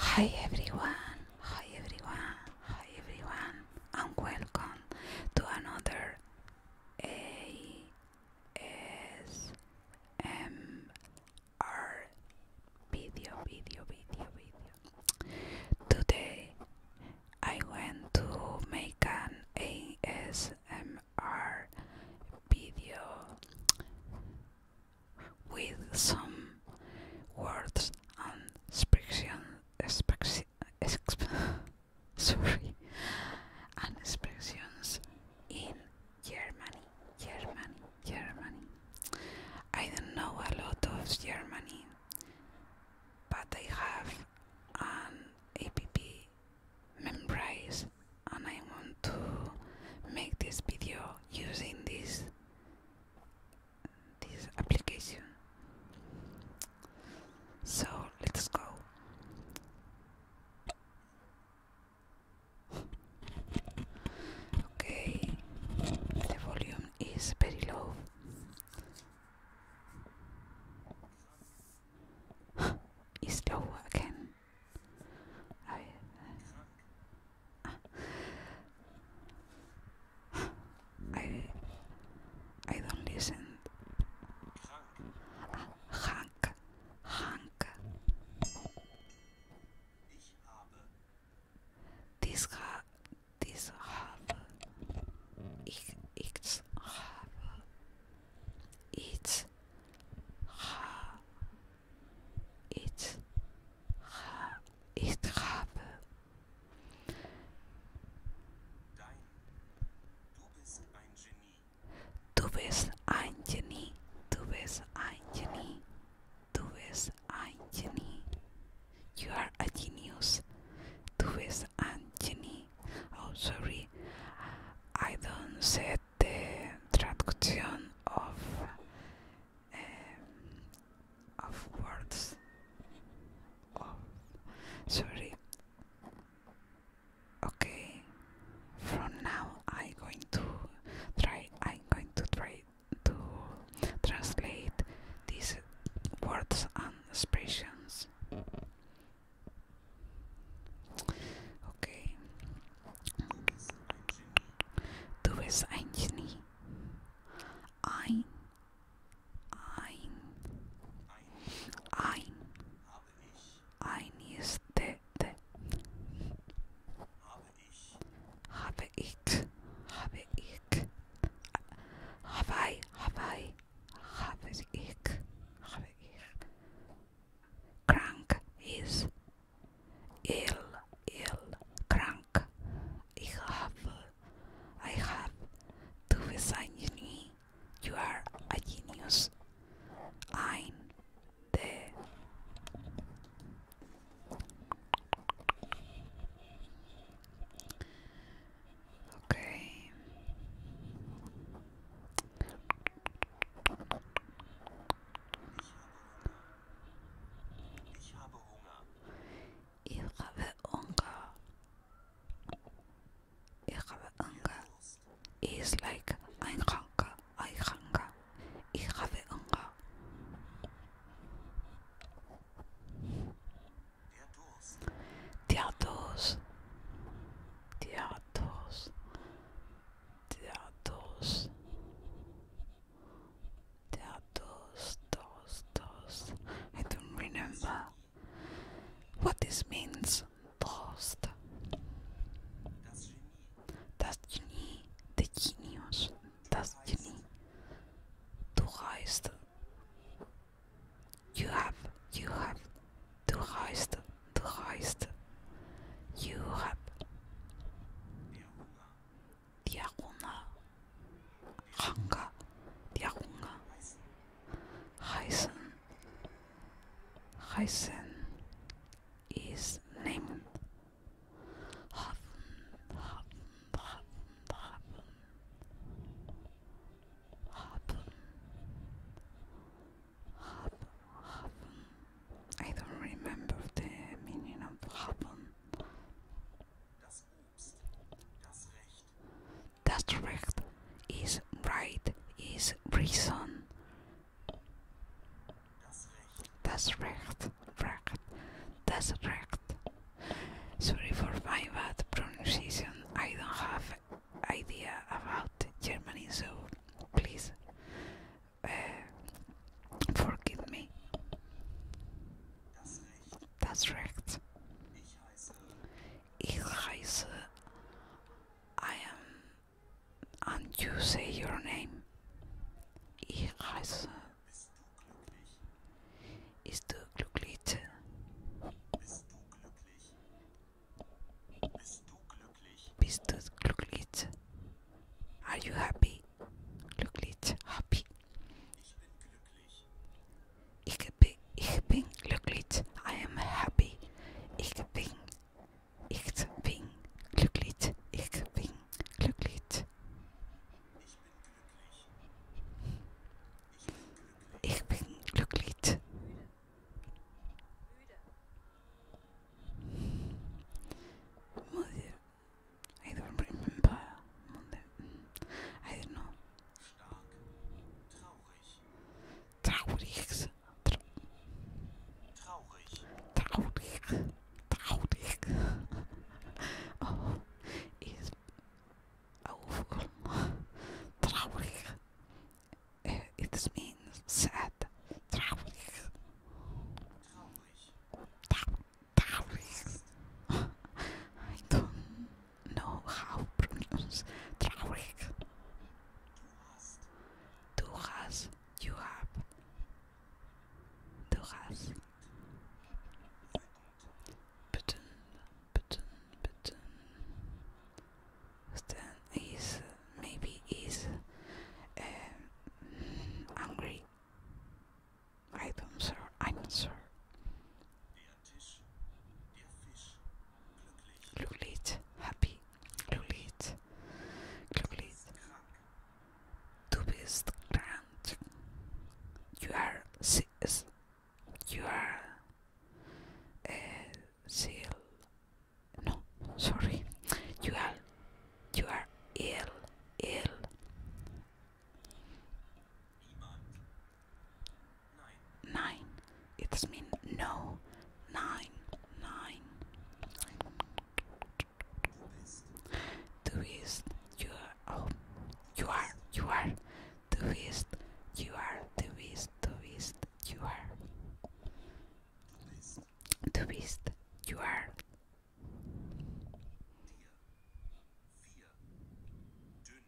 Hi everyone, hi everyone, hi everyone, and welcome to another ASMR video, video, video, video. Today I want to make an ASMR are video with some words and expression, sorry, and expressions in Germany, Germany, Germany. I don't know a lot of Germany, but I have an app memorize and I want to make this video using this this application so let's go okay the volume is very low you still working? Oh, I I don't listen. Hank, Hank. This, ha this harbor. It's harbor. It's ha. It's ha. It's harbor. Dein. Du bist ein Genie. Du bist ein Genie. Du bist ein Genie. Du bist ein Genie. You are a genius. Du bist Anthony. Oh, sorry, I don't set the traduction of um, of words. Oh, sorry. Okay, from now I'm going to try. I'm going to try to translate these words and expressions. Okay. Du bist ein Genie. Ein. Ein. Ein. Ein ist de, Habe ich, Have ich, Have ich, habe ich, habe ich. Krank is ill, ill, Crank. Ich habe, I have. To be ein Genie. You are a genius. Ein, de, Okay. Ich habe Hunger. Ich habe Hunger. It's like ein Hunger, ein Hunger ihraveanga. Theatos, Theatos, Theatos, Theatos, dos, dos. I don't remember what this means. Lost. Das Genie, the genius, dass Juni du reist. You have, you have, du reist, du reist. You have. Diaruna, Ranga, Diaruna, Reisen, Reisen is named Hoppen, hoppen, hoppen, hoppen. Hoppen. Hoppen, I don't remember the meaning of hoppen. Das Recht is right, is reason. That's right. Right. That's right. Sorry for my bad pronunciation. I don't have idea about Germany, so please uh, forgive me. That's right. I am and you say your name. Ich heiße. Bist du glücklich? Bist du glücklich? Bist du glücklich? Are you happy? Glücklich, happy. Ich bin, ich bin glücklich. I am happy. Ich bin Ich bin glücklich. Ich bin glücklich. Ich bin glücklich. Mother, I don't remember. Mother, I don't know. Stark, traurig. Traurig. Traurig. Traurig. Oh, is awful. Traurig. Eh, it means sad. Traurig. Traurig. I don't know how to pronounce Traurig. Du hast, you have. Du hast. Button, button, button. Stan is, maybe is um, angry. I don't sure, I'm not know. i am not sure Glulit, happy. Glulit, Glulit. Du bist grand. You are, you are uh, seal. No, sorry. You are, you are ill, ill. Nine. It's mean no. Nine. Nine. Twist. You are. Oh. You are. You are. Twist. You are. Twist. Twist. You are. Twist. You are. Dünn.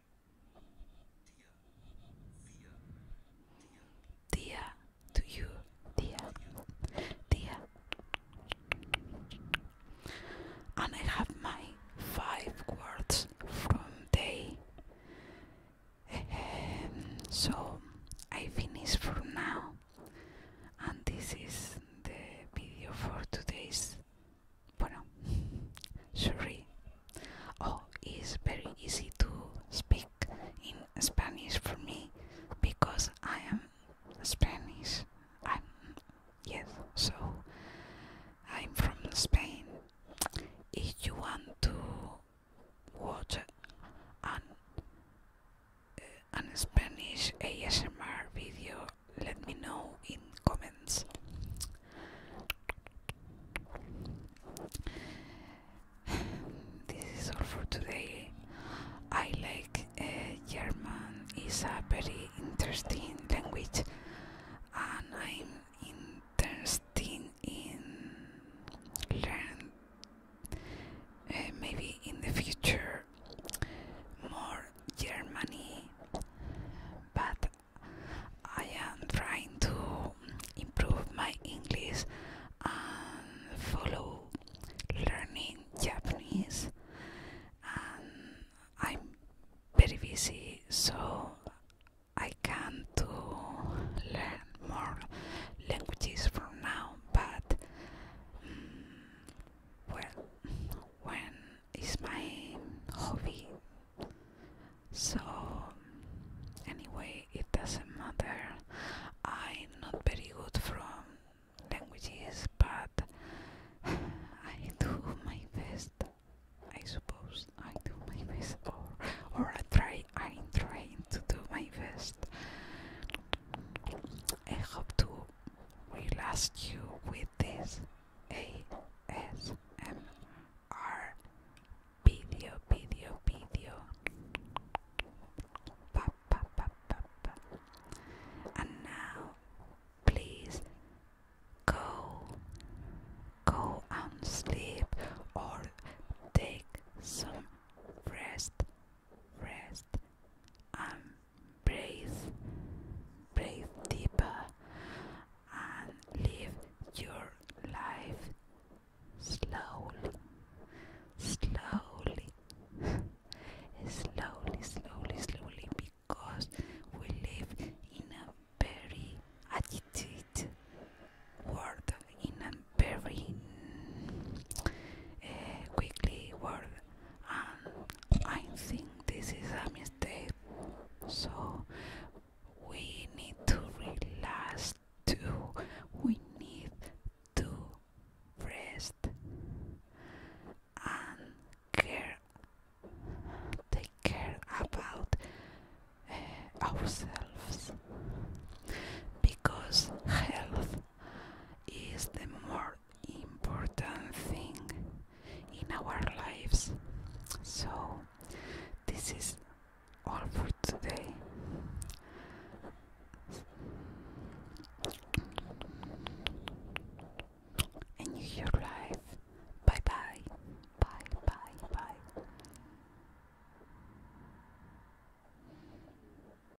Dear to you, dear, dear. And I have my five words from day. Um, so I finish for now, and this is the video for today's bueno, sorry. Oh, it's very easy to speak in Spanish for me because I am Spanish. I'm yes, so I'm from Spain. If you want to watch an, an Spanish ASMR video let me know in comments this is all for today I like uh, German It's a very interesting language and I'm interested in learn uh, maybe in the future more Germany but I am trying to improve my English and follow learning Japanese and I'm very busy so I can't do learn more languages from now but mm, well when is my hobby. So, anyway, it doesn't matter. I'm not very good from languages, but I do my best. I suppose I do my best, or or I try. I'm trying to do my best. I hope to last you with this. ASMR video, video, video. Pa, pa, pa, pa, pa. And now, please go, go and sleep or take some rest, rest. Um, breathe, breathe deeper, and live your life slowly, slowly, slowly, slowly, slowly, because we live in a very agitated world, in a very eh, quickly world and um, I think this is a mistake. So we need to relax too. We need to rest and care, take care about eh, ourselves because health is the more important thing in our lives. So, this is all for today. Enjoy your life. Bye bye. Bye bye bye.